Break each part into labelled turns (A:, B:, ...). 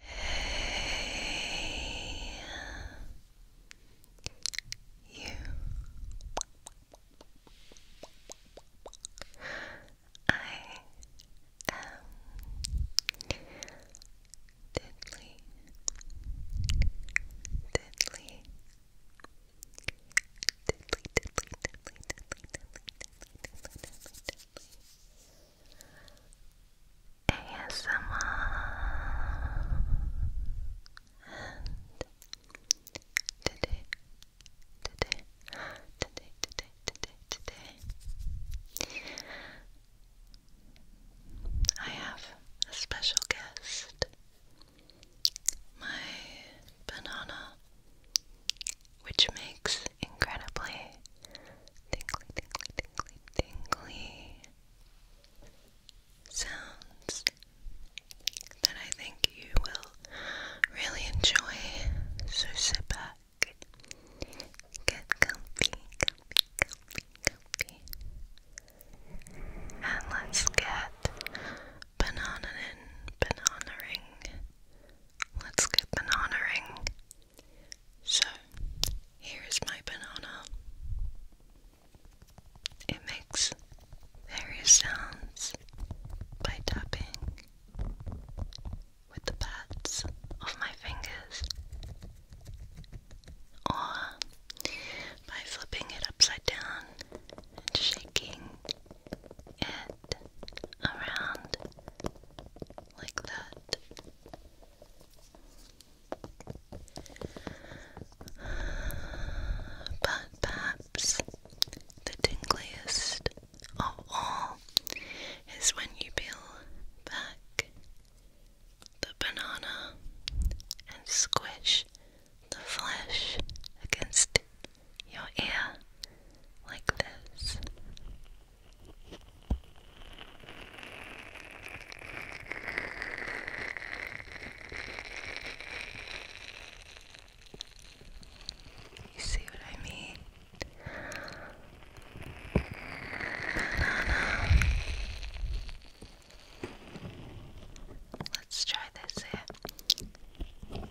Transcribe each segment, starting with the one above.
A: Hey, you. I am deadly, deadly, deadly, deadly, deadly, deadly, deadly, deadly, deadly, deadly, ASMR and today, today, today, today, today, today I have a special guest my banana which makes is incredibly tingly, tingly, tingly, tingly sounds that I think you will really enjoy. So sit back, get comfy, comfy, comfy, comfy, and let's get banana in, banana ring. Let's get banana ring. So, here is my banana. It makes various sounds by tapping with the pads of my fingers or by flipping it upside down and shaking it around like that. But perhaps the tingliest of all is when you peel back the banana and squish the flesh against your ear like this. You see what I mean? Banana. Let's try this here.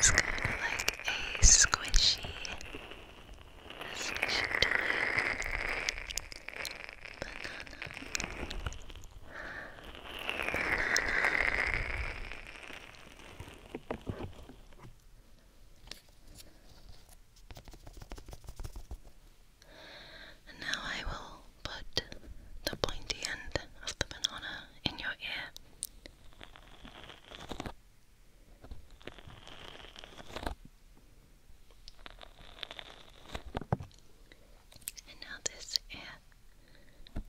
A: It's kind of like a squishy, a squishy banana. And now I will put the pointy end of the banana in your ear. And now this ear.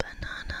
A: Banana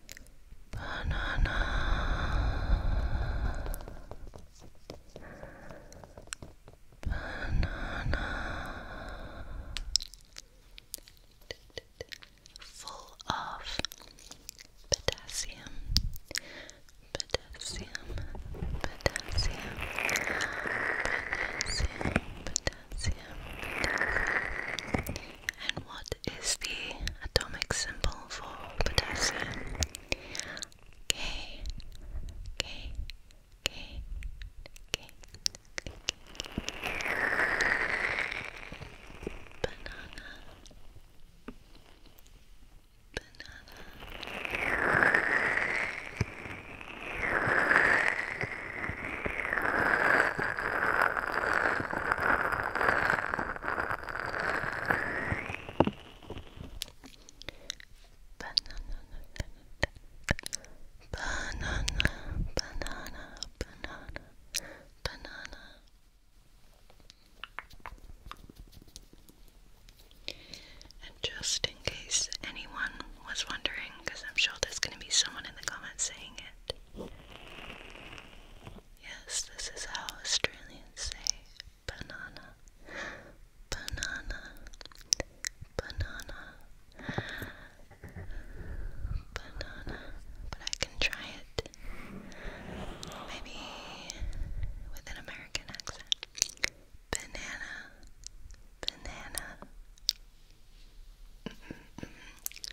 A: Banana. Banana. Full of potassium. Potassium. Potassium. Potassium. Potassium. And what is the atomic symbol for potassium? K, K, K, K, Banana. Banana banana, banana, banana, banana. And just in case anyone was wondering, because I'm sure there's going to be someone in the comments saying it, Yes, this is how Australians say banana. Banana. Banana. Banana. But I can try it maybe with an American accent. Banana. Banana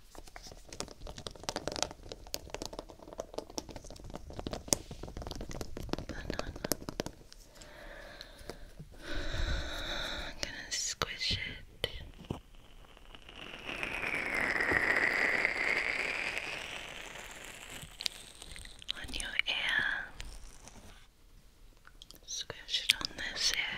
A: Banana. I'm gonna squish it. On your ear, squish it on this ear.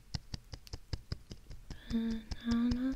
A: Banana. Banana.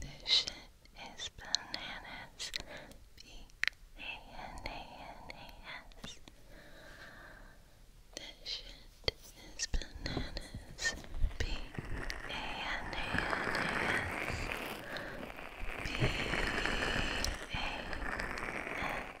A: This shit is bananas. B A N A N A S. This shit is bananas. B A N A N A S. B A N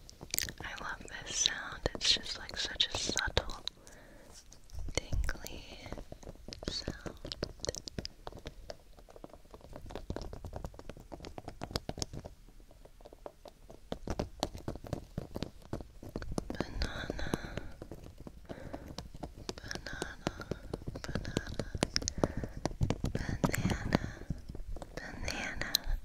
A: I love this sound. It's just like such a subtle, tingly sound. Banana, banana, banana, banana, banana.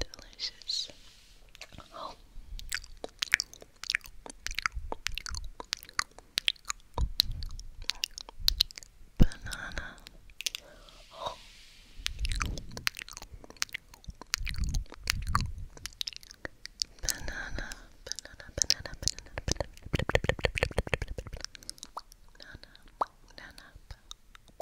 A: Delicious. banana, banana, banana, banana, banana, banana,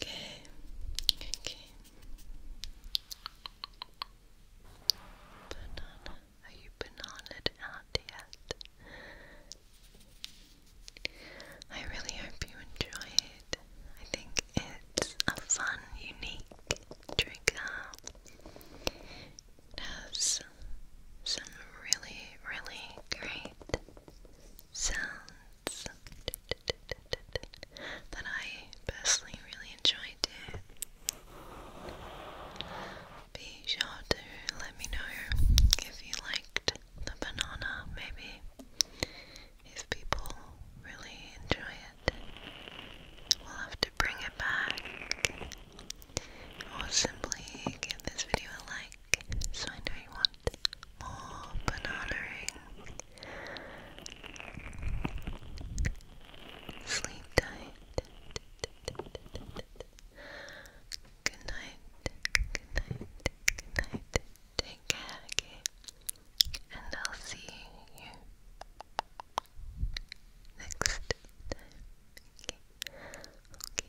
A: Okay, okay. Banana, are you bananaed out yet? I really hope you enjoy I think it's a fun, unique trigger. It has some really, really great sounds that I personally really enjoy it. Be sure to let me know if you liked the banana, maybe if people really enjoy it, we'll have to bring it back. Or simply give this video a like so I know you want more banana Sleep tight. Good night. Good night. Good night. Take care, okay? and I'll see you next time. Okay.